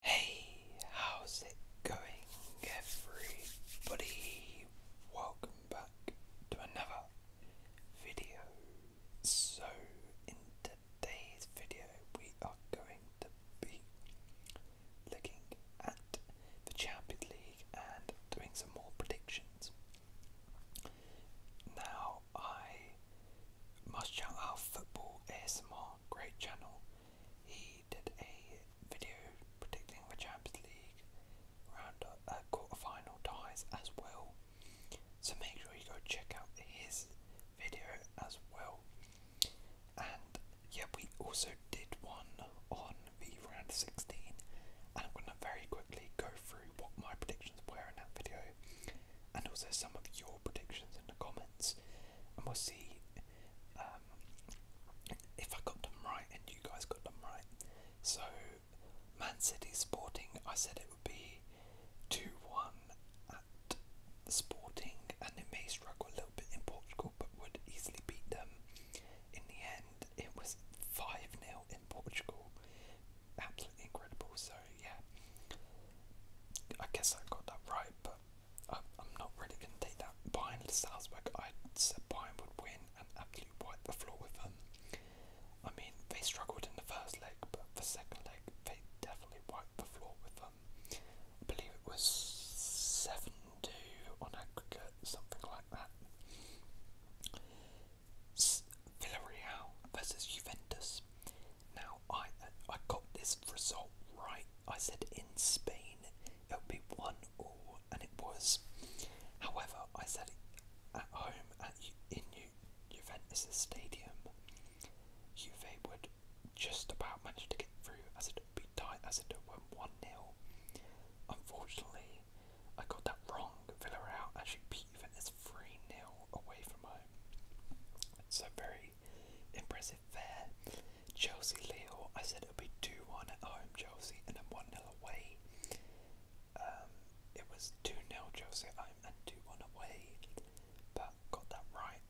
Hey, how's it going, everybody? Welcome back to another video. So, in today's video, we are going to be looking at the Champions League and doing some more predictions. Now, I must shout out football ASMR channel, great channel. He did a video predicting the Champions League round uh, quarter ties as well. So make sure you go check out his video as well. And yeah, we also did one on the round 16. And I'm going to very quickly go through what my predictions were in that video and also some of your predictions in the comments, and we'll see um, if I got them right and you guys got them right. So, Man City Sporting, I said it would be 2 1 at Sporting, and it may struggle a little bit in Portugal, but would easily beat them. In the end, it was 5 0 in Portugal. Absolutely incredible. So, yeah, I guess I got that right, but I, am not really going to take that. Bayern Salzburg, I said Bayern would win and absolutely wipe the floor with them. I mean, they struggled in the first leg, but the second leg, they definitely wiped the floor with them. I believe it was 7 2 on aggregate, something like that. Villarreal versus Juventus. Now, I I got this result right. I said in Spain it would be one all, and it was. However, I said at home at in Juventus Stadium, Juve would just about manage to get through, as it would be tight, as it would win one 0 Unfortunately, I got that wrong. Villarreal actually even his free nil away from home. It's a very impressive fair. Chelsea Lille, I said it would be 2 1 at home, Chelsea, and then 1 0 away. Um, it was 2 0 Chelsea at home and 2 1 away, but got that right.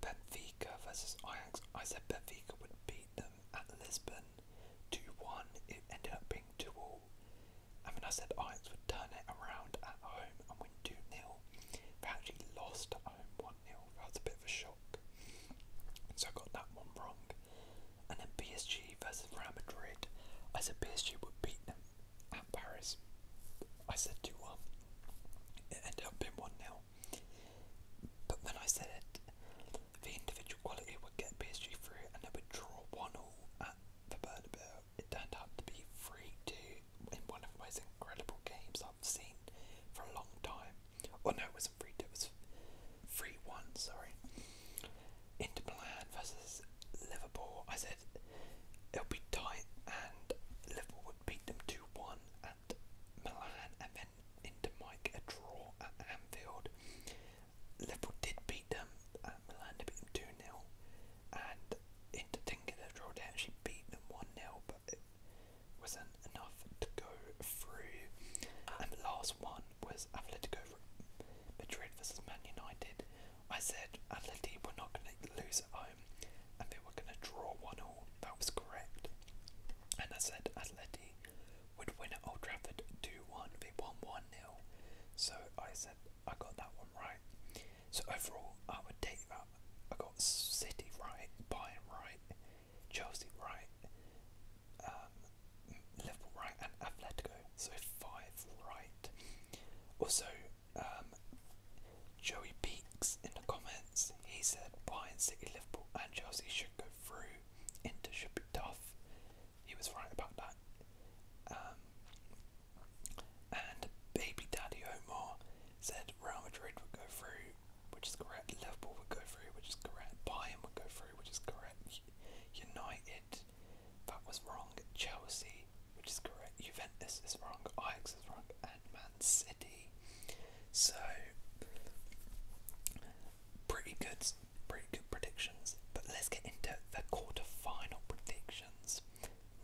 Benfica versus Ajax, I said Benfica would beat them at Lisbon 2 1. It ended up being 2 0. And then I said Ajax would turn it around at home and win 2 nil. They actually lost at home 1 nil. That was a bit of a shock. So I got that one wrong. And then PSG versus Real Madrid. I said PSG would beat them at Paris. I said 2 1. It ended up being 1 0. But when I said the individual quality would get PSG through and they would draw 1 0 at the Bernabeu, it turned out to be free to in one of the most incredible games I've seen for a long time. Or oh, no, it wasn't free to, it was free one, sorry. Inter Milan versus Liverpool. I said it'll be tight and Liverpool would beat them 2 1 at Milan and then into Mike a draw at Anfield. Liverpool did beat them, um, and Milan beat them 2 0. And into thinking that draw, they actually beat them 1 0, but it wasn't enough to go through. And the last one was Atletico Madrid versus Man United. I said Atleti were not going to lose at home and they were going to draw 1 all. That was correct. And I said Atleti would win at Old Trafford 2 1. They won 1 so I said I got that one right. So overall, I would take that. I got City right, Bayern right, Chelsea right, um, Liverpool right, and Atletico. So five right. Also, um, Joey Peaks in the comments, he said Bayern City, Liverpool, and Chelsea should go through. into should be tough he was right about that. Um, and baby daddy Omar said Real Madrid would go through, which is correct. Liverpool would go through, which is correct. Bayern would go through, which is correct. United, that was wrong. Chelsea, which is correct. Juventus is wrong. Ajax is wrong, and Man City. So pretty good, pretty good predictions. But let's get into the quarter-final predictions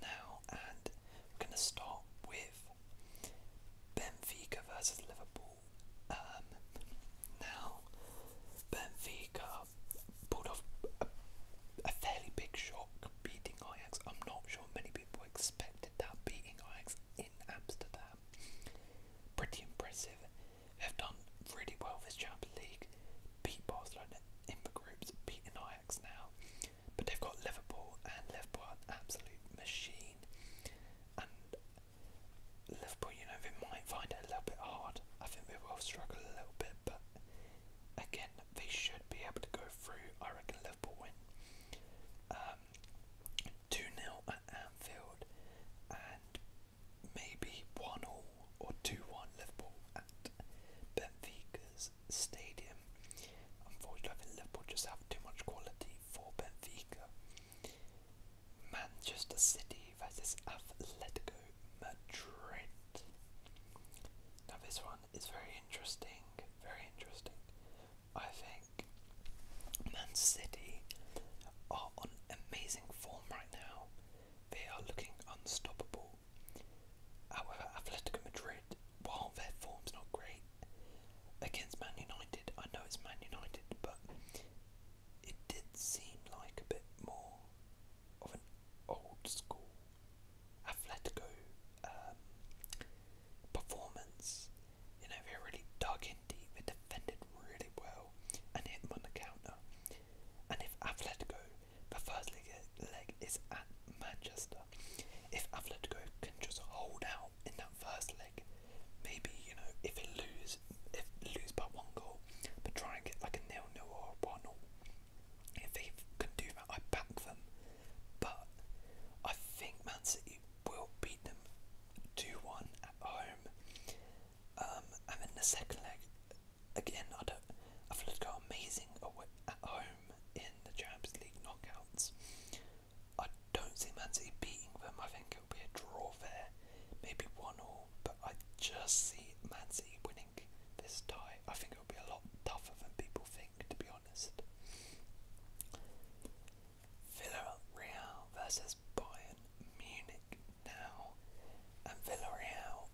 now, and we're going to start with Benfica versus Liverpool. Um, now, Benfica pulled off a, a fairly big shock beating Ajax. I'm not sure many people expected that beating Ajax in Amsterdam. Pretty impressive have done really well this Champions League. Beat Barcelona in the groups, beating Ajax now. But they've got Liverpool, and Liverpool absolute machine. And Liverpool, you know, they might find it a little bit hard. I think they will struggle a little bit, but again, they should be able to go through. I reckon Liverpool win. Um, 2 0 at Anfield, and maybe 1 or 2 1 Liverpool at Benfica's stadium. Unfortunately, Liverpool just have too much quality for Benfica. Manchester City versus Atletico Madrid. Now, this one is very interesting. Very interesting. I think. Man City are on amazing form right now. They are looking unstoppable. However, Atletico Madrid, while their form's not great, against Man United, I know it's Man United, but it did seem like a bit more of an old school Atletico um, performance. You know, they really dug in deep, they defended really well and hit them on the counter. And if Atletico, the first leg, leg is at Manchester, if Atletico can just hold out in that first leg, maybe, you know, if it lose, if it lose by one goal, but try and get like a nil-nil or one-all, if they can do that, I back them. But I think Man City will beat them 2-1 at home. Um, and then the second leg, again, I don't, amazing at home in the Champions League knockouts. I don't see Man City beating them. I think it'll be a draw there, maybe one all. But I just see Man City winning this tie. I think it'll be a lot tougher than people think, to be honest. Villarreal versus Bayern Munich now. And Villarreal,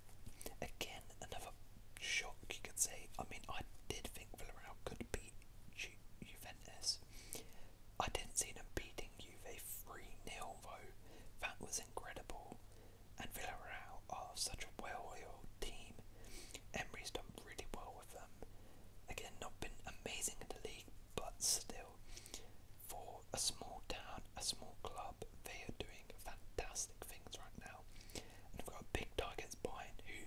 again, another shock you could say. I mean, I did think Villarreal could beat Juventus. I didn't see them beating Juve 3 0, though. That was incredible. And Villarreal are such a well oiled team. Emery's done really well with them. Again, not been amazing in the league, but still, for a small town, a small club, they are doing fantastic things right now. And they've got big targets behind who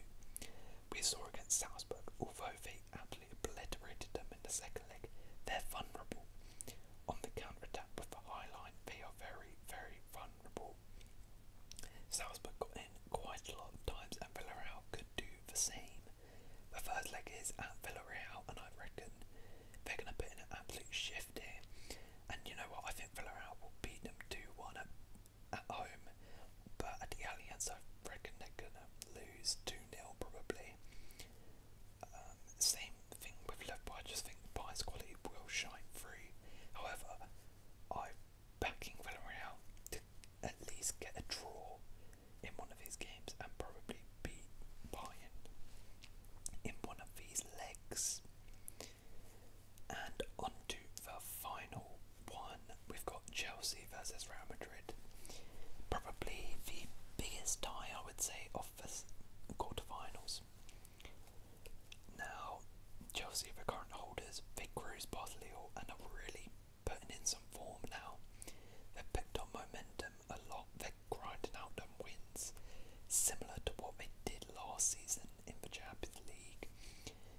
we saw against Salzburg, although they absolutely obliterated them in the second leg, they're vulnerable. On the counter attack with the high line, they are very, very vulnerable. Salzburg got in quite a lot of times and Villarreal could do the same. The first leg is at Villarreal and I reckon they're going to put in an absolute shift here. And you know what, I think Villarreal will beat them 2-1 at, at home. But at the Allianz I reckon they're going to lose 2-0 probably. Um, same thing with Liverpool, I just think Bayern's quality will shine through. However, I backing Villarreal to at least get a draw in one of these games and probably beat Bayern in one of these legs. And on the final one, we've got Chelsea versus Real Madrid. Probably the biggest tie, I would say, of the quarterfinals. Now, Chelsea are the current holders. They cruise past Lille and are really putting in some form now. They've picked up momentum a lot. They're grinding out them wins, similar to what they did last season in the Champions League.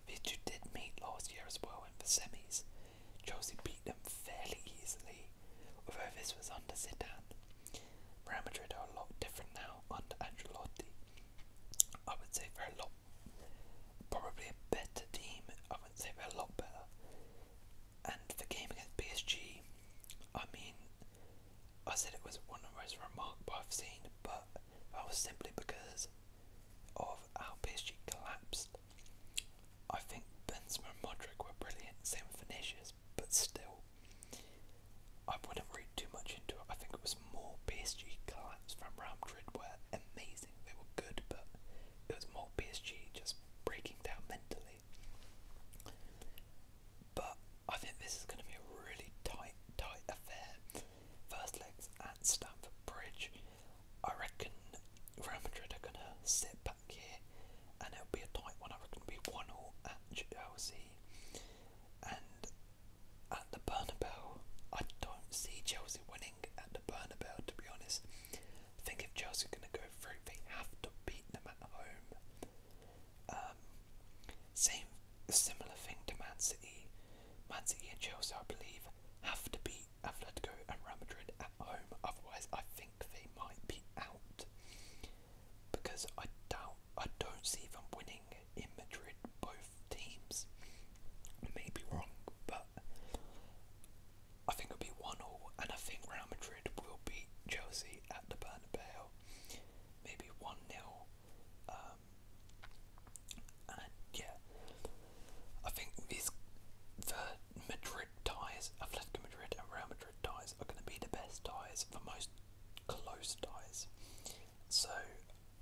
These two did meet last year as well in the semis. Chelsea beat them fairly easily, although this was under Zidane. Real Madrid are a lot different now under Ancelotti. I would say they're a lot, probably a better team. I would say they're a lot better. And the game against PSG, I mean, I said it was one of the most remarkable I've seen, but that was simply because of how PSG collapsed. I think Benzema and Modric were brilliant, same finishes, but still, I wouldn't read too much into it. I think it was more PSG collapse from Real Madrid were amazing. They were good, but it was more PSG just breaking down mentally. But I think this is going to be a really tight, tight affair. First legs at Stamford Bridge. I reckon Real Madrid are going to sit back here, and it'll be a tight one. I reckon it be one all at Chelsea. And at the Bernabeu, I don't see Chelsea winning at the Bernabeu, to be honest. I think if Chelsea are going to go through, they have to beat them at home. Um, same, similar thing to Man City. Man City and Chelsea, I believe, have to beat Atletico and Real Madrid at home. Otherwise, I think they might be out because I doubt I don't see if I'm winning in Madrid. Both teams may be wrong, but I think it'll be one all, and I think Real Madrid will beat Chelsea at the Bernabeu, maybe one nil, um, and yeah, I think these the Madrid ties, Atletico Madrid and Real Madrid ties are going to be the best ties, for most close ties. So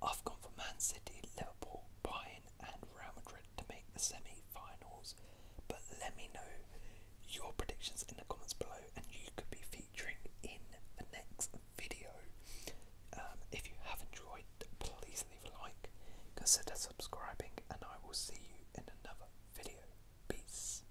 I've gone for Man City, Liverpool, Bayern, and Real Madrid to make the semi-finals. But let me know your predictions in the comments below, and you could be featuring in the next video. Um, if you have enjoyed, please leave a like, consider subscribing, and I will see you in another video. Peace.